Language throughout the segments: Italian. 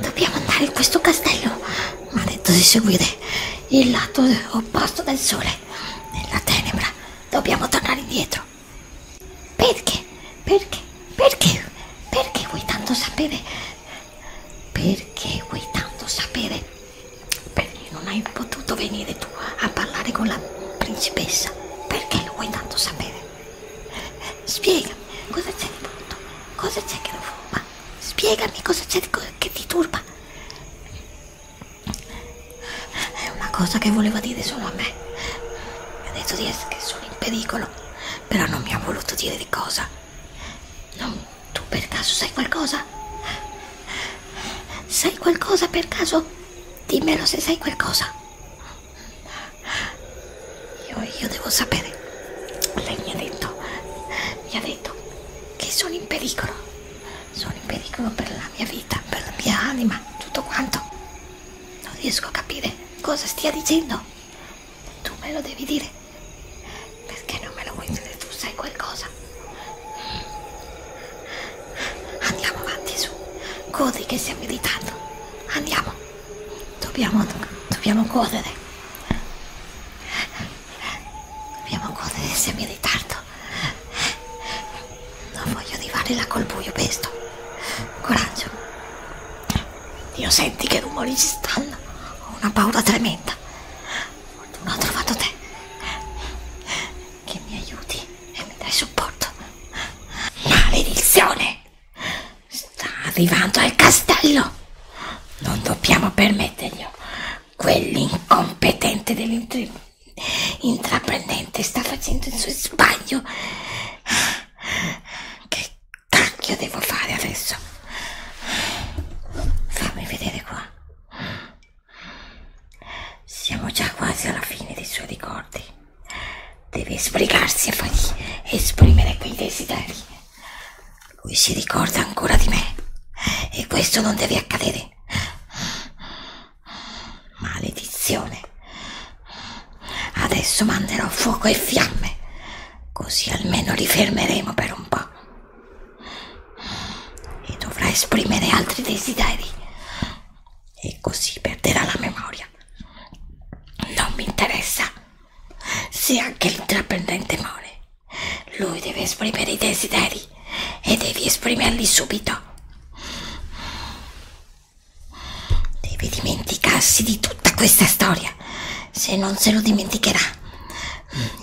Dobbiamo andare in questo castello. Mi ha detto di seguire il lato opposto del sole. Nella tenebra dobbiamo tornare indietro. Perché? Perché? Perché? Perché vuoi tanto sapere? Perché vuoi tanto sapere? Perché non hai potuto venire tu a parlare con la principessa? Perché lo vuoi tanto sapere? Spiegami cosa c'è di brutto Cosa c'è che lo turba? Spiegami cosa c'è che ti turba. È una cosa che voleva dire solo a me. Mi ha detto di essere che sono in pericolo, però non mi ha voluto dire di cosa. Non, tu per caso sai qualcosa? Sai qualcosa per caso? Dimmelo se sai qualcosa. Io, io devo sapere. Lei mi ha detto, mi ha detto che sono in pericolo. Sono in pericolo per la mia vita, per la mia anima, tutto quanto. Non riesco a capire cosa stia dicendo. Tu me lo devi dire. Perché non me lo vuoi dire? Tu sai qualcosa. Andiamo avanti su. Corri che stiamo meditando. Andiamo. Dobbiamo, dobbiamo correre. Dobbiamo correre, siamo in ritardo. Non voglio arrivare là col buio, pesto. Coraggio. Dio, senti che rumori ci stanno. Ho una paura tremenda. Non ho trovato te. Che mi aiuti e mi dai supporto. Maledizione! Sta arrivando al castello. Non dobbiamo permetterglielo. Quell'incompetente dell'intraprendente sta facendo il suo sbaglio. Che cacchio devo fare adesso? Fammi vedere qua. Siamo già quasi alla fine dei suoi ricordi. Deve sbrigarsi a fargli esprimere quei desideri. Lui si ricorda ancora di me e questo non deve accadere. Maledizione. Adesso manderò fuoco e fiamme, così almeno li fermeremo per un po'. E dovrà esprimere altri desideri. E così perderà la memoria. Non mi interessa sia anche l'intraprendente more. Lui deve esprimere i desideri e devi esprimerli subito. Deve dimenticarsi di tutta questa storia. Se non se lo dimenticherà,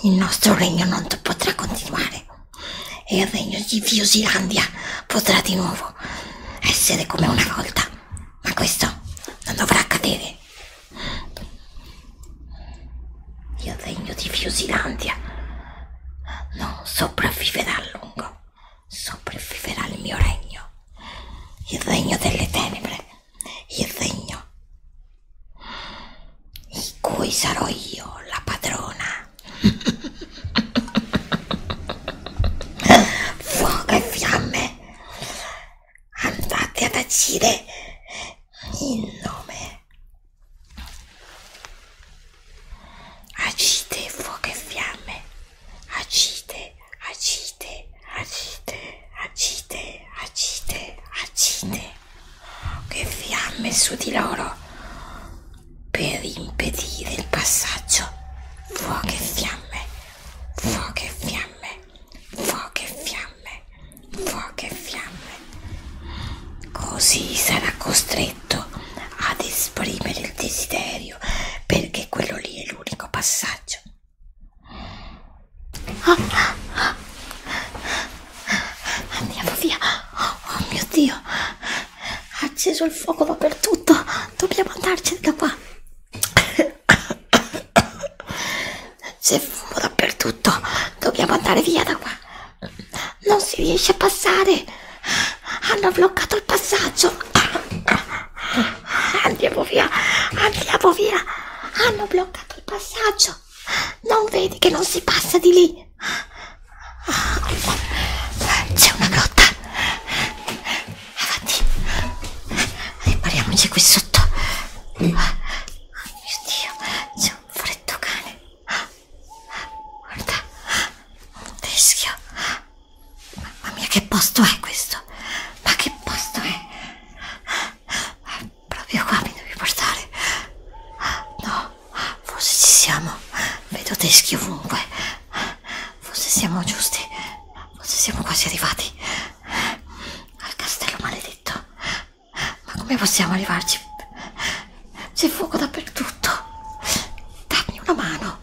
il nostro regno non potrà continuare e il regno di Fiosilandia potrà di nuovo essere come una volta. Ma questo non dovrà accadere. Il regno di Fiusilandia non sopravviverà a lungo, sopravviverà il mio regno, il regno delle tenebre, il regno in cui sarò io la padrona. Fuoco e fiamme, andate a tacere in nome agite fuoco e fiamme agite agite agite agite agite agite che fiamme su di loro per impedire il passaggio fuoco e fiamme fuoco e fiamme fuoco e fiamme, fuoco e fiamme. Così sarà costretto ad esprimere il desiderio perché quello lì è l'unico passaggio. Oh, oh. Andiamo via. Oh mio Dio, ha acceso il fuoco dappertutto. Dobbiamo andarcene da qua. C'è fumo dappertutto. Dobbiamo andare via da qua. Non si riesce a passare. Hanno bloccato il passaggio. Andiamo via. Andiamo via. Hanno bloccato il passaggio. Non vedi che non si passa di lì? C'è una grotta avanti ripariamoci qui sotto oh mio dio c'è un freddo cane guarda un teschio mamma mia che posto è questo ma che posto è ah, proprio qua mi devi portare no forse ci siamo vedo teschi ovunque forse siamo giusti forse siamo quasi arrivati al castello maledetto. Ma come possiamo arrivarci? C'è fuoco dappertutto. Dammi una mano.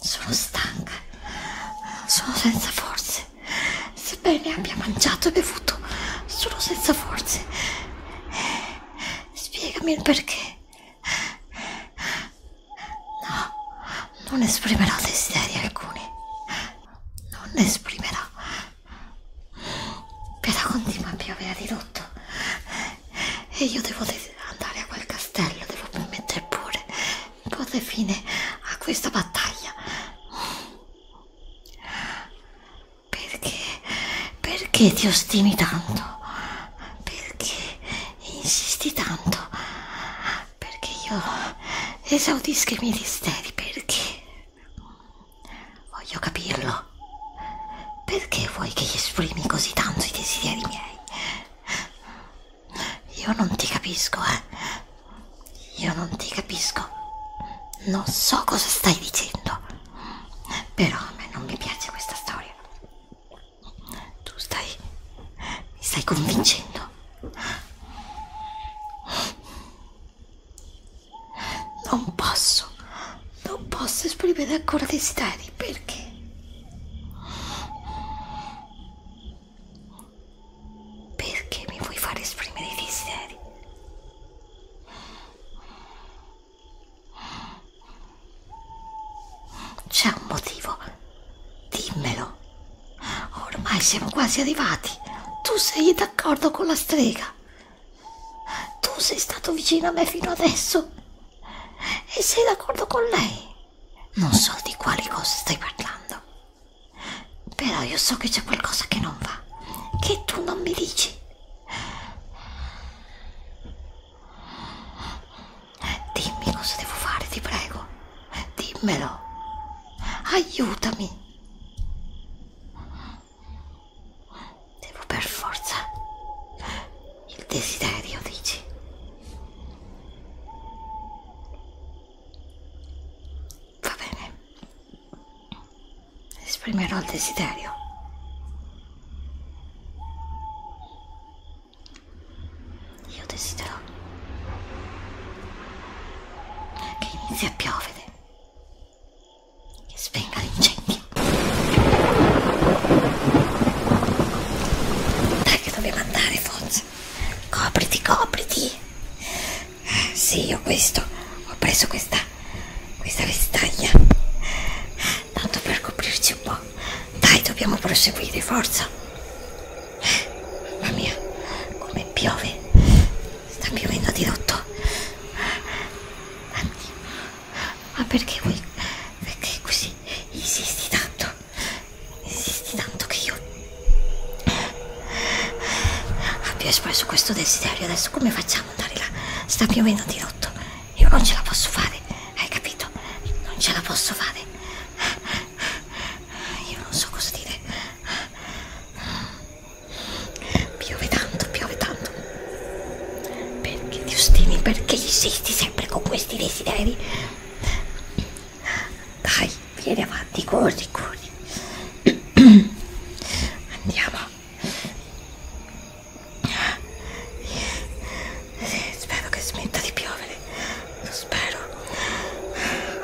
Sono stanca. Sono senza forze. Sebbene abbia mangiato e bevuto, sono senza forze. Spiegami il perché. No, non esprimerà desideri alcuni. Non esprimerà. Pietà continua a piovere di tutto. E io devo andare a quel castello, devo permettere pure di porre fine a questa battaglia. Perché? Perché ti ostini tanto? Perché insisti tanto perché io esaudisca i miei desideri perché voglio capirlo perché vuoi che gli esprimi così tanto i desideri miei io non ti capisco eh io non ti capisco non so cosa stai dicendo però a me non mi piace questa storia tu stai... mi stai convincendo. Non posso, non posso esprimere ancora desideri, perché? Perché mi vuoi far esprimere i desideri? C'è un motivo, dimmelo. Ormai siamo quasi arrivati. Tu sei d'accordo con la strega. Tu sei stato vicino a me fino adesso. E sei d'accordo con lei. Non so di quali cose stai parlando. Però io so che c'è qualcosa che non va, che tu non mi dici. Eh, dimmi cosa devo fare, ti prego. Eh, dimmelo. Aiutami. Devo per forza il desiderio, dici? Va bene. Esprimerò il desiderio. Io desidero che inizi a piovere, che spenga l'incendio. Dai che dobbiamo andare, forza. Copriti, copriti. Eh, sì, io questo, ho preso questa, questa vestaglia, tanto per coprirci un po'. Dai, dobbiamo proseguire, forza. Mamma mia, come piove. Sta piovendo di rotto. Ma perché vuoi... Perché così insisti tanto? Insisti tanto che io abbia espresso questo desiderio. Adesso come facciamo ad andare là? Sta piovendo di rotto. Io non ce la posso fare, hai capito? Non ce la posso fare. Io non so cosa dire. Piove tanto, piove tanto. Perché ti ostini? Perché insisti sempre con questi desideri? Dai, vieni avanti, corri, corri. Andiamo. Sì, spero che smetta di piovere. Lo spero.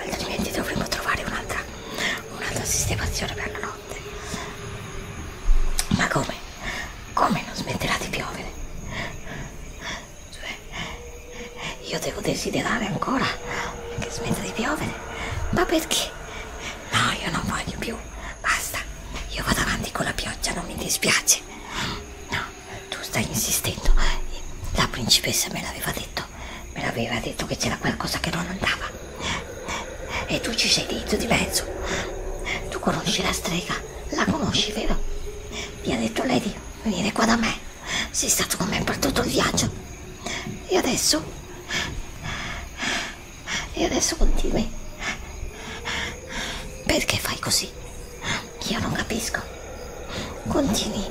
Altrimenti dovremo trovare un'altra un'altra sistemazione per la notte. Ma come? Come non smetterà di piovere? Cioè, io devo desiderare ancora che smetta di piovere. Ma perché? No, io non voglio più. Basta. Io vado avanti con la pioggia, non mi dispiace. No tu stai insistendo. La principessa me l'aveva detto, me l'aveva detto che c'era qualcosa che non andava. E tu ci sei dentro di mezzo. Tu conosci la strega, la conosci, vero? Mi ha detto lei di venire qua da me. Sei stato con me per tutto il viaggio. E adesso? E adesso continui. Perché fai così? Io non capisco. Continui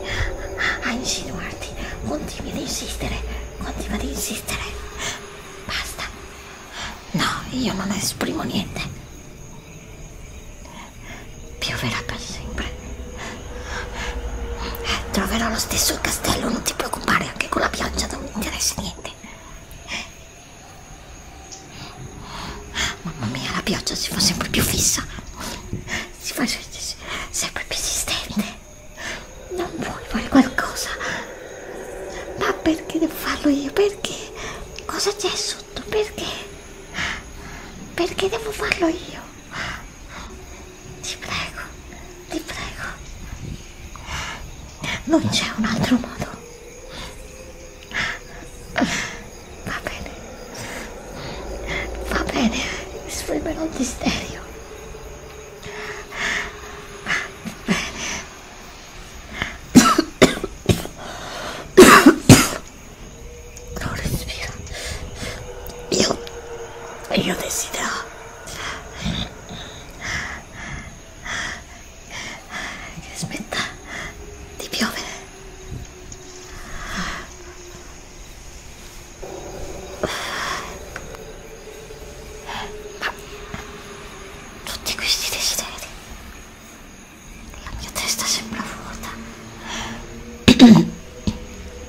a insinuarti, continui ad insistere, continui ad insistere. Basta. No, io non esprimo niente. Pioverà per sempre. Troverò lo stesso il castello, non ti preoccupare, anche con la pioggia non mi interessa niente. Mamma mia, la pioggia si fa sempre più fissa, si fa sempre più esistente. Non vuoi fare qualcosa? Ma perché devo farlo io? Perché? Cosa c'è sotto? Perché? Perché devo farlo io? Ti prego, ti prego. Non c'è un altro modo. Va bene. Va bene, sfrimerò il desiderio. Non respira. Io... Io desidero... Che aspetta di piovere. Ma tutti questi desideri, la mia testa sembra vuota. Mi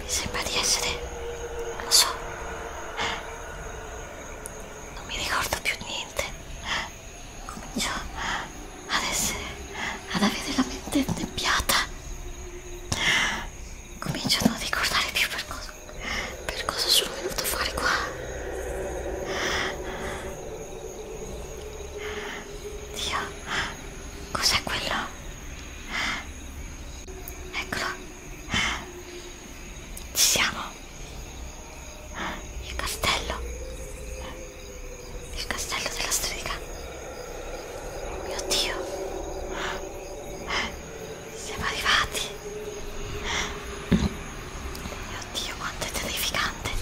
sembra di essere, non lo so, non mi ricordo più niente cominciamo ad essere ad avere la mente nebbiata comincio a non ricordare più per cosa, per cosa sono venuto fuori qua Dio cos'è quello? eccolo ci siamo il castello il castello della strega. Oh mio Dio. Siamo arrivati. Oh mio Dio, quanto è terrificante.